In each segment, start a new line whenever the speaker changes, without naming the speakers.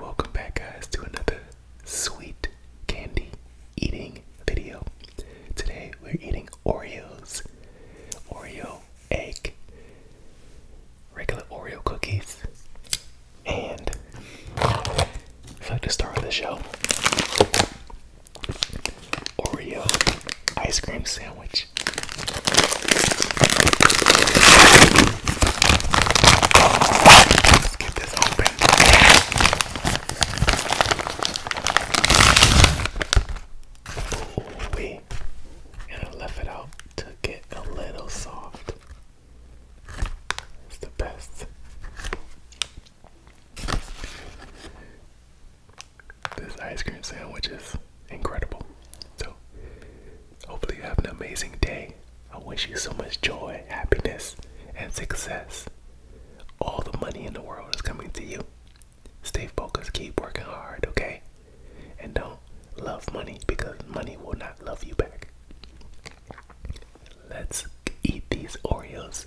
Welcome back guys to another sweet candy eating video. Today we're eating Oreos, Oreo egg, regular Oreo cookies, and I like the start of the show. Oreo ice cream sandwich. Let's get this open. Ooh wee. And I left it out to get a little soft. It's the best. This ice cream sandwich is incredible. So Hopefully, you have an amazing day. I wish you so much joy, happiness, and success. All the money in the world is coming to you. Stay focused, keep working hard, okay? And don't love money because money will not love you back. Let's eat these Oreos.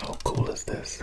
How cool is this?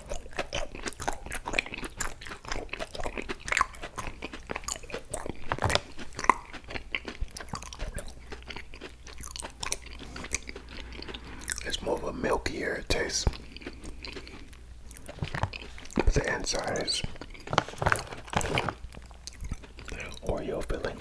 It's more of a milkier taste. the inside is Oreo filling.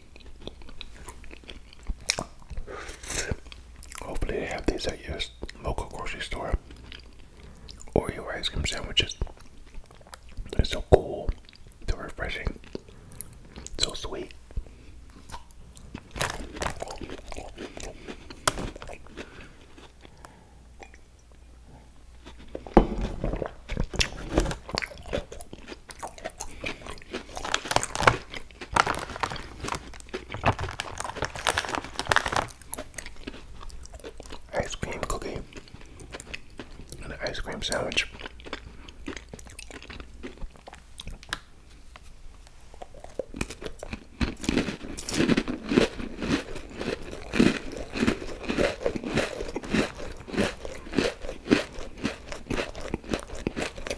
Hopefully they have these at your local grocery store or your ice cream sandwiches. They're so cool, so refreshing, so sweet. Ice cream cookie and ice cream sandwich.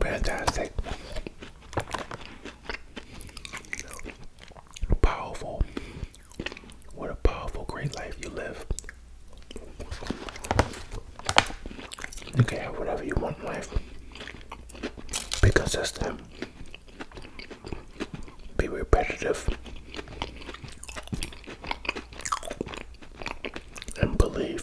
Fantastic, powerful. What a powerful, great life you live. Okay, whatever you want in life. Be consistent. Be repetitive. And believe.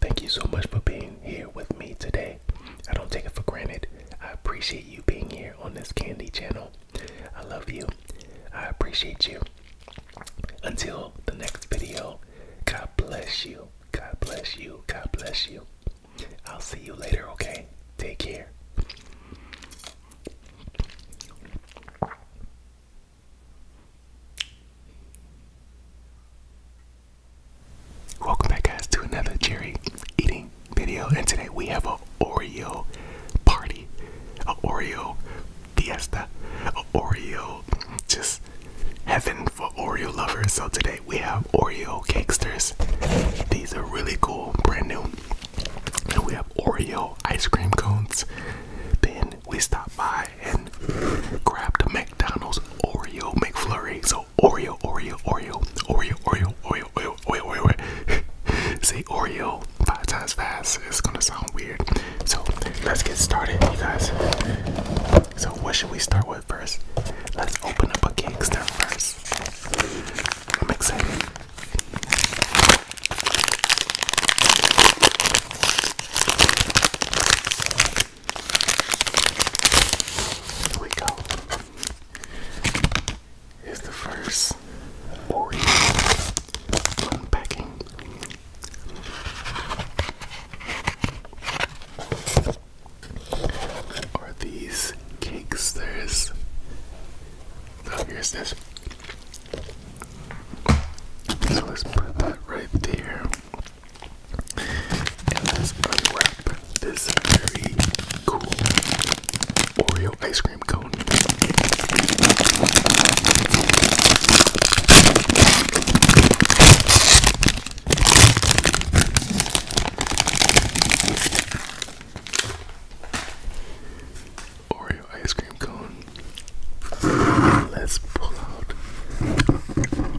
Thank you so much for being here with me today. I don't take it for granted. I appreciate you being here on this candy channel. I love you. I appreciate you. Until the next video, God bless you. God bless you. God bless you. I'll see you later, okay? Take care. Welcome back guys to another cherry eating video and today we have a Oreo party, a Oreo fiesta, a Oreo just heaven for Oreo lovers. So today we have Oreo cakesters. These are really cool, brand new. And we have Oreo ice cream cones. Then we stopped by and grabbed a McDonald's Oreo McFlurry. So Oreo, Oreo, Oreo, Oreo, Oreo, Oreo, Oreo, Oreo, Oreo. Say Oreo five times fast. It's gonna sound weird. So let's get started, you guys. So what should we start with first? Let's open up a cake step first. I'm excited. Here we go. Here's the first Oreo unpacking. Are these cakes? There's so here's this. So let's put that right there. And let's unwrap this very cool Oreo ice cream cone. Oreo ice cream cone. Let's pull out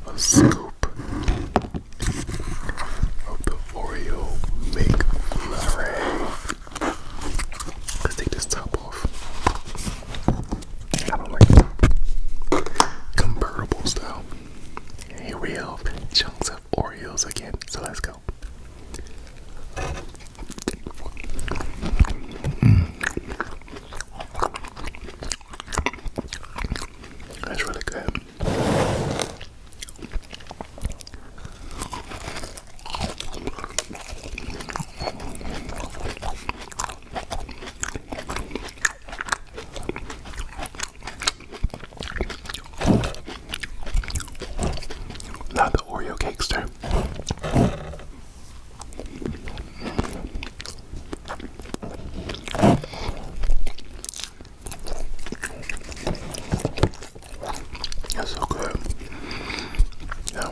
a scoop of the Oreo McFlurry. Let's take this top off. I style. Here we have chunks of Oreos again, so let's go. That's really good. Not the Oreo cakester. That's so good. Now,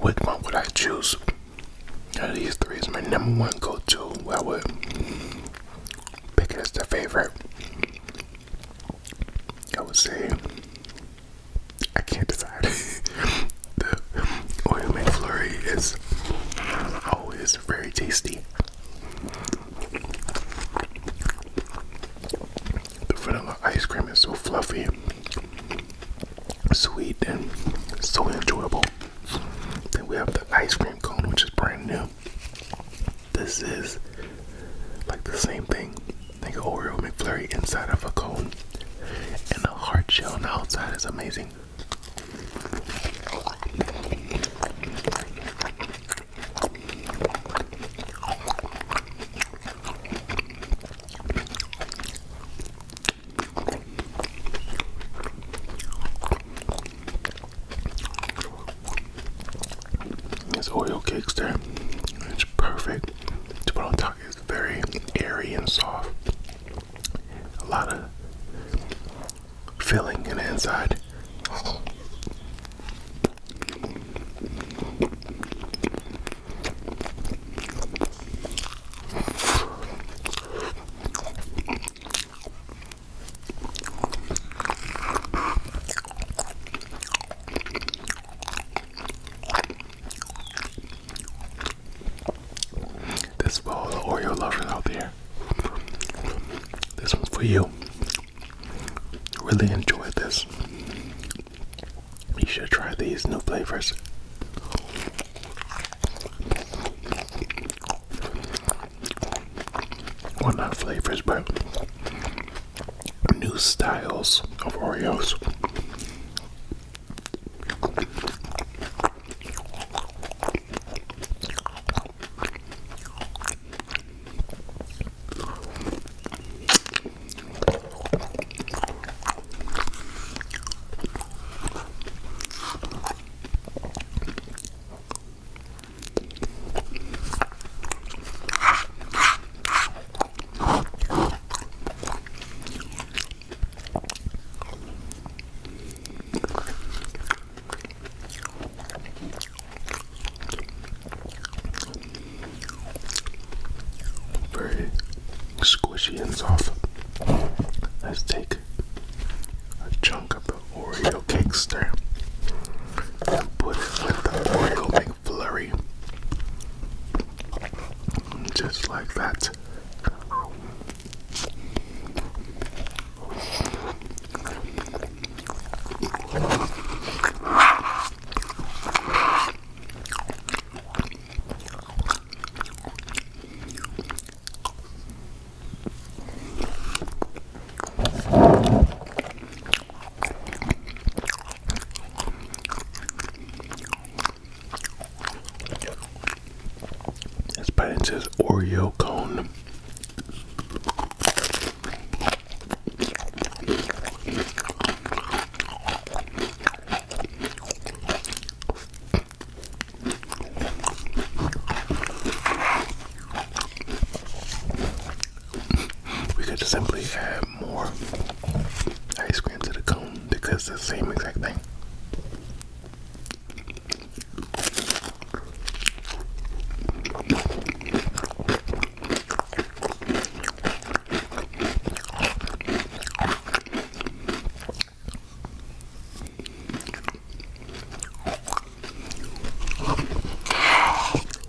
which one would I choose? these three is my number one go-to. I would pick it as the favorite. I would say I can't decide. the oil made McFlurry is always very tasty. The vanilla ice cream is so fluffy, sweet, and so enjoyable. Then we have the ice cream cone, which is brand new. This is like the same thing, Think of Oreo McFlurry inside of a cone and the hard shell on the outside is amazing. There's oil cakes there. It's perfect to put on top. It's very airy and soft. A lot of filling in the inside. This bowl all the Oreo lovers out there. This one for you. Really enjoyed this. You should try these new flavors. Well, not flavors, but new styles of Oreos. Very squishy ends off. Let's take a chunk of the Oreo cakester and put it with the Oreo cake flurry. Just like that. His patent says Oreo cone we could simply add more ice cream to the cone because the same exact thing.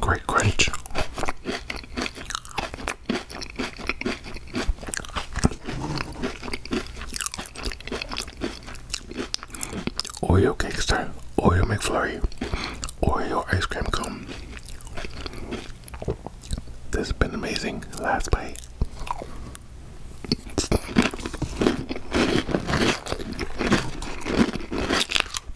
Great crunch. Oreo cake star, Oreo McFlurry, Oreo ice cream cone. This has been amazing. Last bite.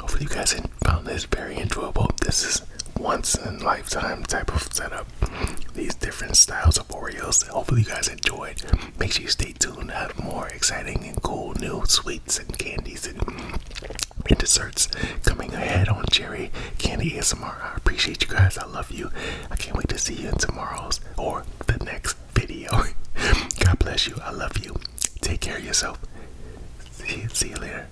Hopefully, you guys found this very enjoyable. This is once in a lifetime type of setup. These different styles of Oreos. Hopefully, you guys guys Make sure you stay tuned. I have more exciting and cool new sweets and candies and, desserts coming ahead on Jerry Candy ASMR. I appreciate you guys. I love you. I can't wait to see you in tomorrow's or the next video. God bless you. I love you. Take care of yourself. see you later.